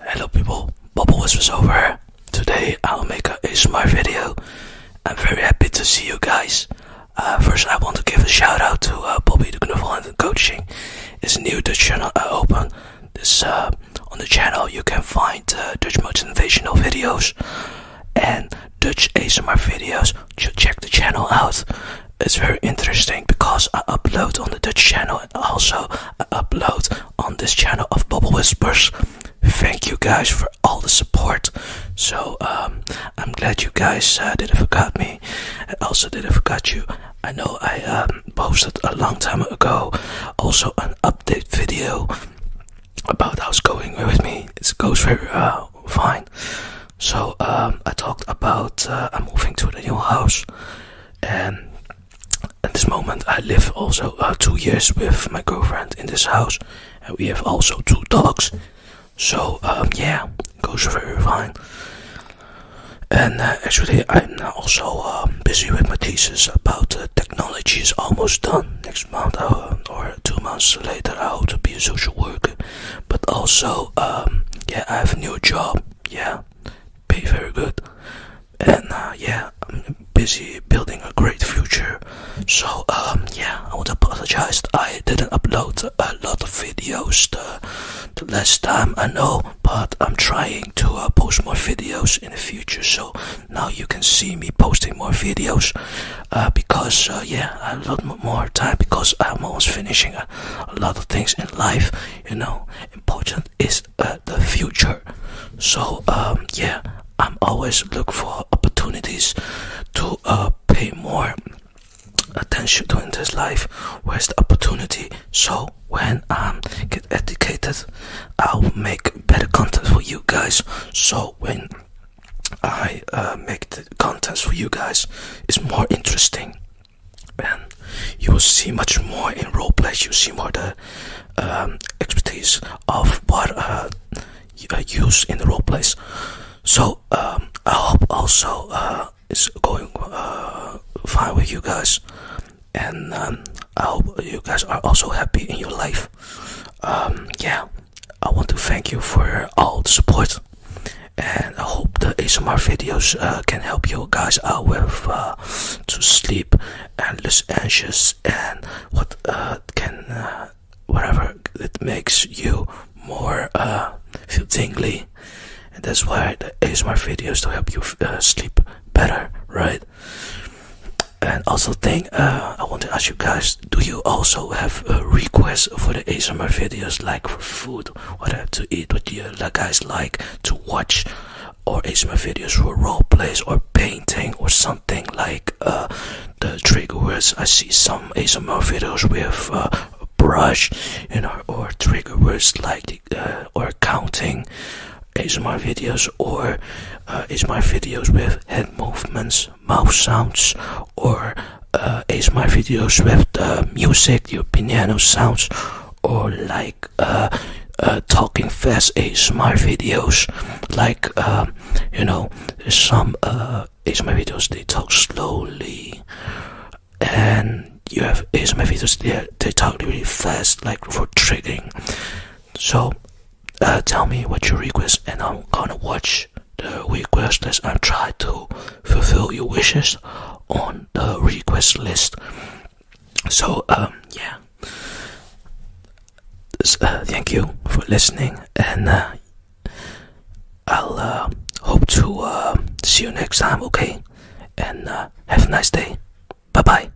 Hello people, Bubble was over here. Today I'll make a ASMR video. I'm very happy to see you guys. Uh, first I want to give a shout out to uh, Bobby de Knuffel and Coaching. It's new Dutch channel I uh, open. This, uh, on the channel you can find Dutch motivational videos and Dutch ASMR videos. To check the channel out. It's very interesting because I upload on the Dutch channel and also upload on this channel of Bubble Whispers. Thank you guys for all the support. So um, I'm glad you guys uh, didn't forget me, I also didn't forget you. I know I um, posted a long time ago, also an update video about how's going with me. It goes very uh, fine. So um, I talked about uh, I'm moving to the new house and at this moment i live also uh, two years with my girlfriend in this house and we have also two dogs so um, yeah it goes very fine and uh, actually i'm also um, busy with my thesis about technology is almost done next month uh, or, two months later i hope to be a social worker but also um, yeah i have a new job yeah, be very good, and uh, yeah, I'm busy building a great future. So um, yeah, I would apologize. I didn't upload a lot of videos the, last time I know, but I'm trying to uh, post more videos in the future. So now you can see me posting more videos uh, because uh, yeah, I have a lot more time because I'm almost finishing a lot of things in life you know important is uh, the future so um, yeah i'm always look for opportunities to uh, pay more attention to in this life where's the opportunity so when i get educated i'll make better content for you guys so when I uh, make the contents for you guys is more interesting, and you will see much more in roleplay. You see more the um, expertise of what I uh, uh, use in the roleplays. So um, I hope also it's going fine with you guys, and um, I hope you guys are also happy in your life. yeah. I want to thank you for all the support, and I hope the ASMR videos uh, can help you guys out with uh, to sleep and less anxious and what uh, can whatever it makes you more feel tingly, and that's why the ASMR videos to help you sleep better, right? and also thing uh, I want to ask you guys do you also have requests for the ASMR videos like for food what to eat what you guys like to watch or ASMR videos for role plays or painting or something like uh, the trigger words I see some ASMR videos with uh, brush you know or trigger words like or counting ASMR videos or ASMR videos with head movements mouse sounds, or uh, ASMR videos with the uh, music, the piano sounds, or like uh, uh, talking fast ASMR videos, like um, you know some uh, ASMR videos they talk slowly, and you have ASMR videos they they talk really fast, like for triggering. So uh, tell me what you request, and I'm gonna watch the request list and try to fulfill your wishes on the request list. So, um, yeah. Uh, thank you for listening, and uh, I'll hope to see you next time, okay? And have a nice day. Bye bye.